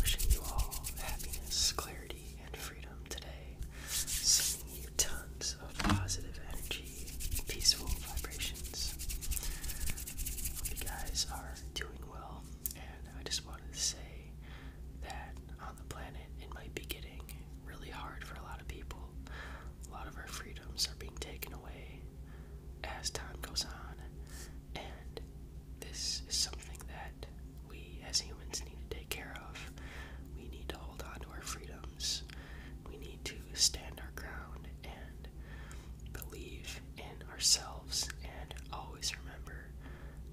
Wishing you all happiness, clarity, and freedom today. Sending you tons of positive energy, peaceful vibrations. Hope you guys are doing well, and I just wanted to say that on the planet it might be getting really hard for a lot of people. A lot of our freedoms are being taken away as time goes on, and this is something that we as humans need to take care of. We need to hold on to our freedoms, we need to stand our ground and believe in ourselves, and always remember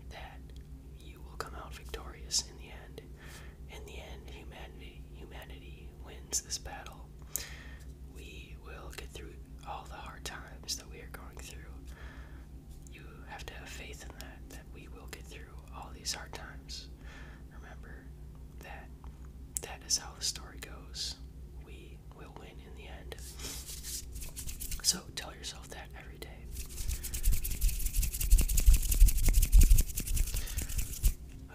that you will come out victorious in the end. In the end, humanity humanity wins this battle we will get through all the hard times that we are going through. You have to have faith in that, that we will get through all these hard times. Remember that that is how the story goes. We will win in the end. So tell yourself that every day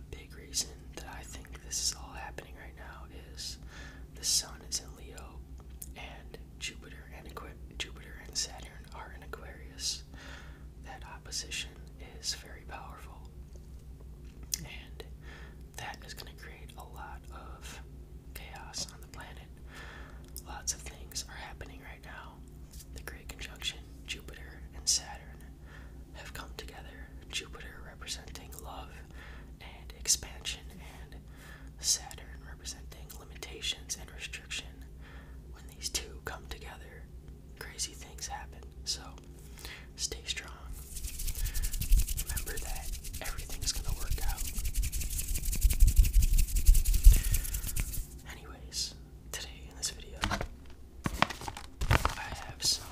a big reason that I think this is all happening right now is the Sun is in Leo, and Jupiter and Aqu Jupiter and Saturn are in Aquarius. That opposition is very powerful, and that is going to create a lot of chaos on the planet. Lots of things are happening right now. The Great Conjunction, Jupiter and Saturn, have come together. Jupiter representing love and expansion, and Saturn representing limitations and restriction. When these two come together, crazy things happen. So stay strong. Remember that everything's going to work out. Anyways, today in this video, I have some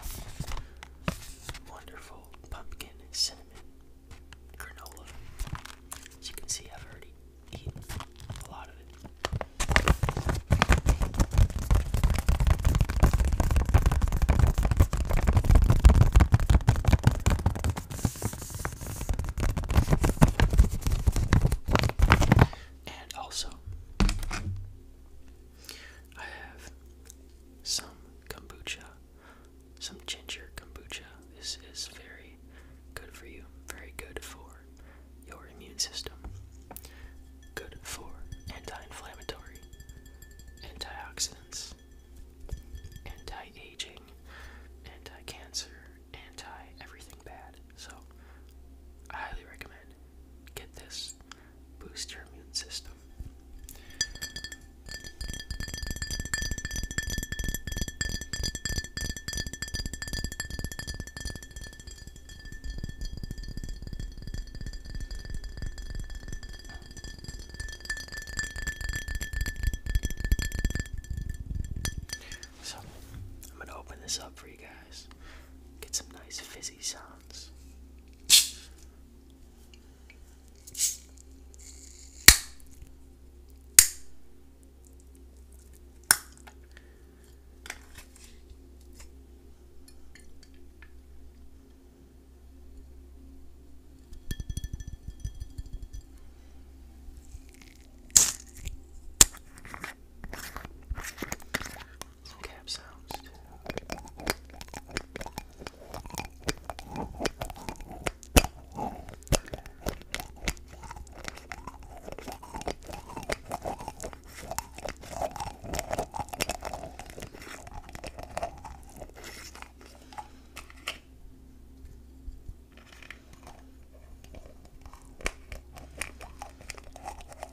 wonderful pumpkin cinnamon granola. As you can see, I've already eaten a lot of it. And also, I have some kombucha, some ginger kombucha. This is very good for you, very good for your immune system, good for anti inflammatory, antioxidants, anti aging, anti cancer, anti everything bad. So, I highly recommend get this boost your immune system. So, I'm going to open this up for you guys. Get some nice fizzy sounds some cap sounds too. All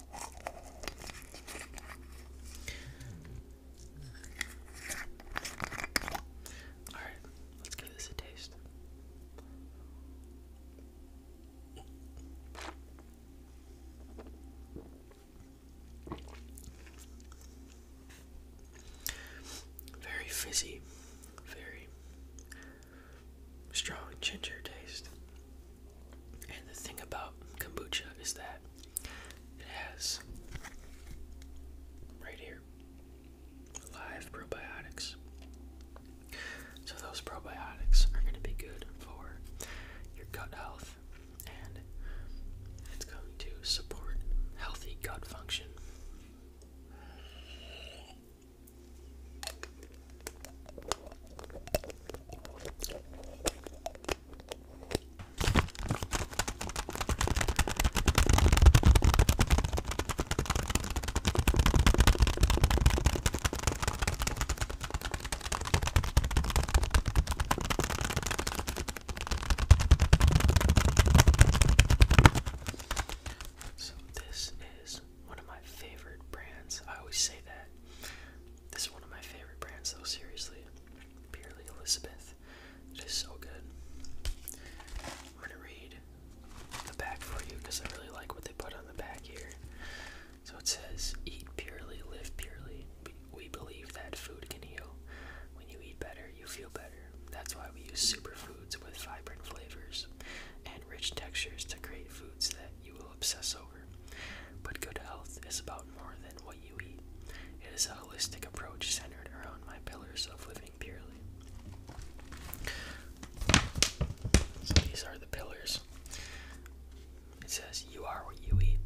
right, let's give this a taste. Very fizzy, very strong ginger taste. And the thing about kombucha is that it has right here live probiotics. So those probiotics are going to be good for your gut health and it's going to support healthy gut function. So this is one of my favorite brands. I always say that. This is one of my favorite brands, So seriously. Purely Elizabeth. Just so good. I'm going to read the back for you because I really like what they put on the back here. So it says, Eat purely, live purely. We believe that food can heal. When you eat better, you feel better. That's why we use superfoods with vibrant flavors and rich textures to create foods that you will obsess over. But good health is about more than what you eat. It is a holistic approach centered around my pillars of living purely. So these are the pillars. It says, You are what you eat.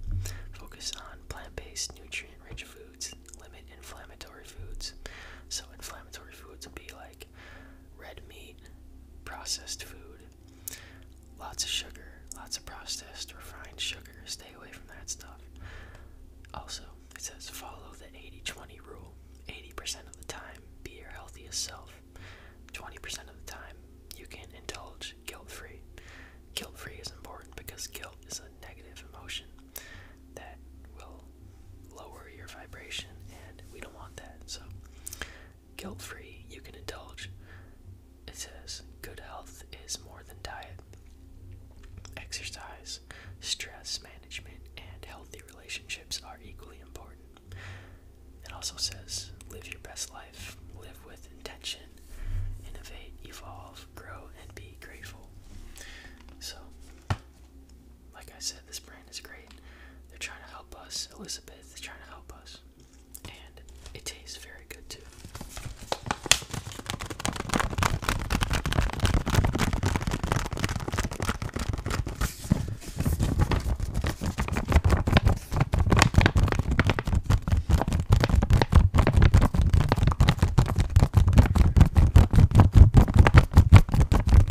Focus on plant based, nutrient rich foods. Limit inflammatory foods. So, inflammatory foods would be like red meat, processed food, lots of sugar, lots of processed, refined sugar. Stay away from that stuff. Also, it says follow the 80 20 rule 80% of the time, be your healthiest self. 20% of the time, you can indulge guilt free. Guilt free is important because guilt is a negative emotion that will lower your vibration, and we don't want that. So, Guilt free, you can indulge. It says, good health is more than diet. Exercise, stress management, and healthy relationships are equally important. It also says, live your best life, live with intention, innovate, evolve, grow, and be grateful. So, like I said, this brand is great. They're trying to help us. Elizabeth is trying to help us. And it tastes very good too.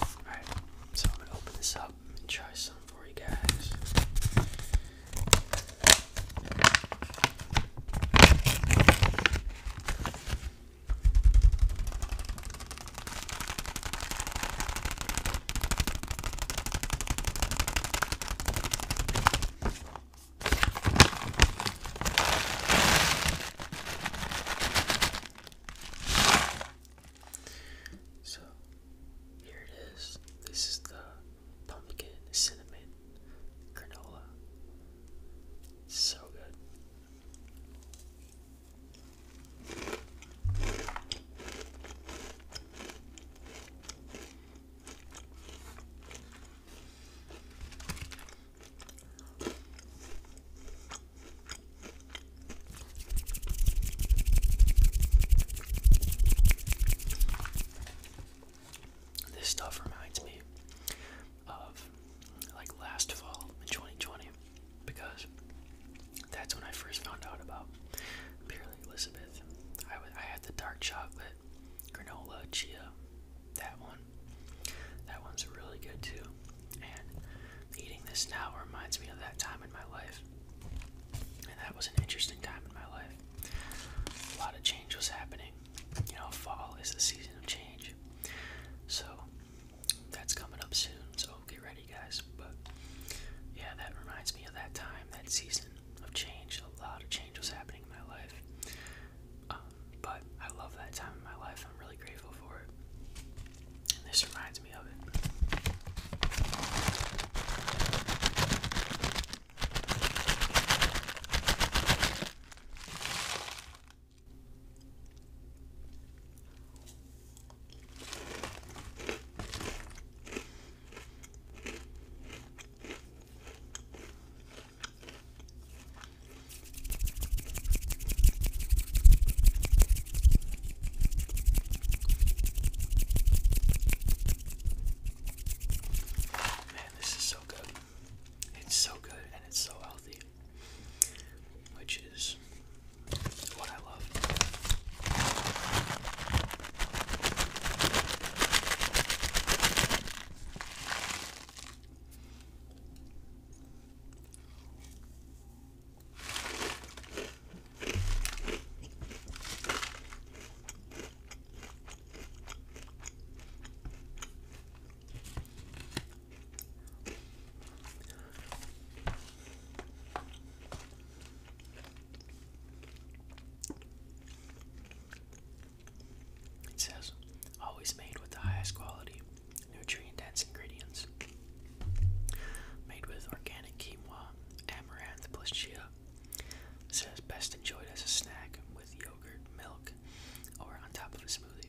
Alright, so I'm gonna open this up and try some for you guys. So here it is. This is the pumpkin cinnamon granola. So good. This stuff reminds me of like last fall in 2020 because that's when I first found out about Purely Elizabeth. I, I had the dark chocolate, granola, chia, that one. That one's really good too. And eating this now reminds me of that time in my life. And that was an interesting time in my life. A lot of change was happening. You know, fall is the season of change. So that's coming up soon, so get ready, guys. But yeah, that reminds me of that time, that season of change. A lot of change was happening in my life. Um, but I love that time of my life. I'm really grateful for it. And this reminds me of it. Man, this is so good. It's so good and it's so healthy, which is what I love. It says, always made with the highest quality, nutrient dense ingredients. Made with organic quinoa, amaranth, plus chia. It says, best enjoyed as a snack with yogurt, milk, or on top of a smoothie.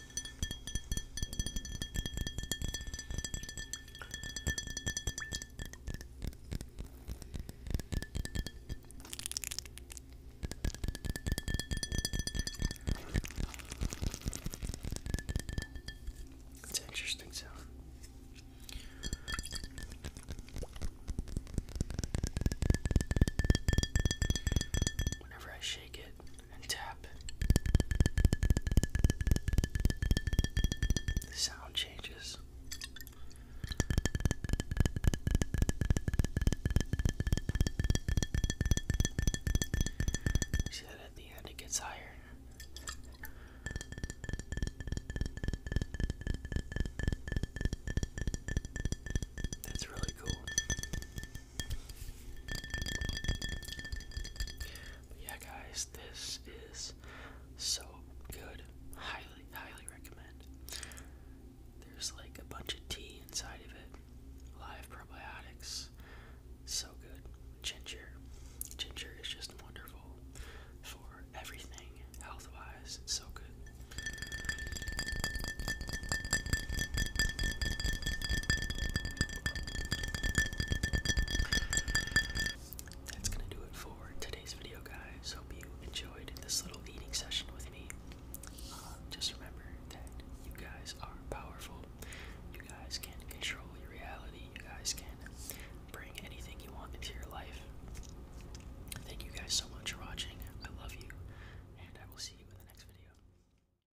It's an interesting sound. Whenever I shake it, and tap. The sound changes. see that at the end it gets higher. That's really cool yeah, guys, this is so good. Highly, highly recommend. There's like a bunch of tea inside of it. Live probiotics. So good. Ginger. Ginger is just wonderful for everything health wise. It's so good. That's gonna do it for today's video, guys. Hope you enjoyed this little eating session with me. Um, just remember that you guys are powerful. You guys can control your reality. You guys can bring anything you want into your life. Thank you guys so much for watching. I love you, and I will see you in the next video.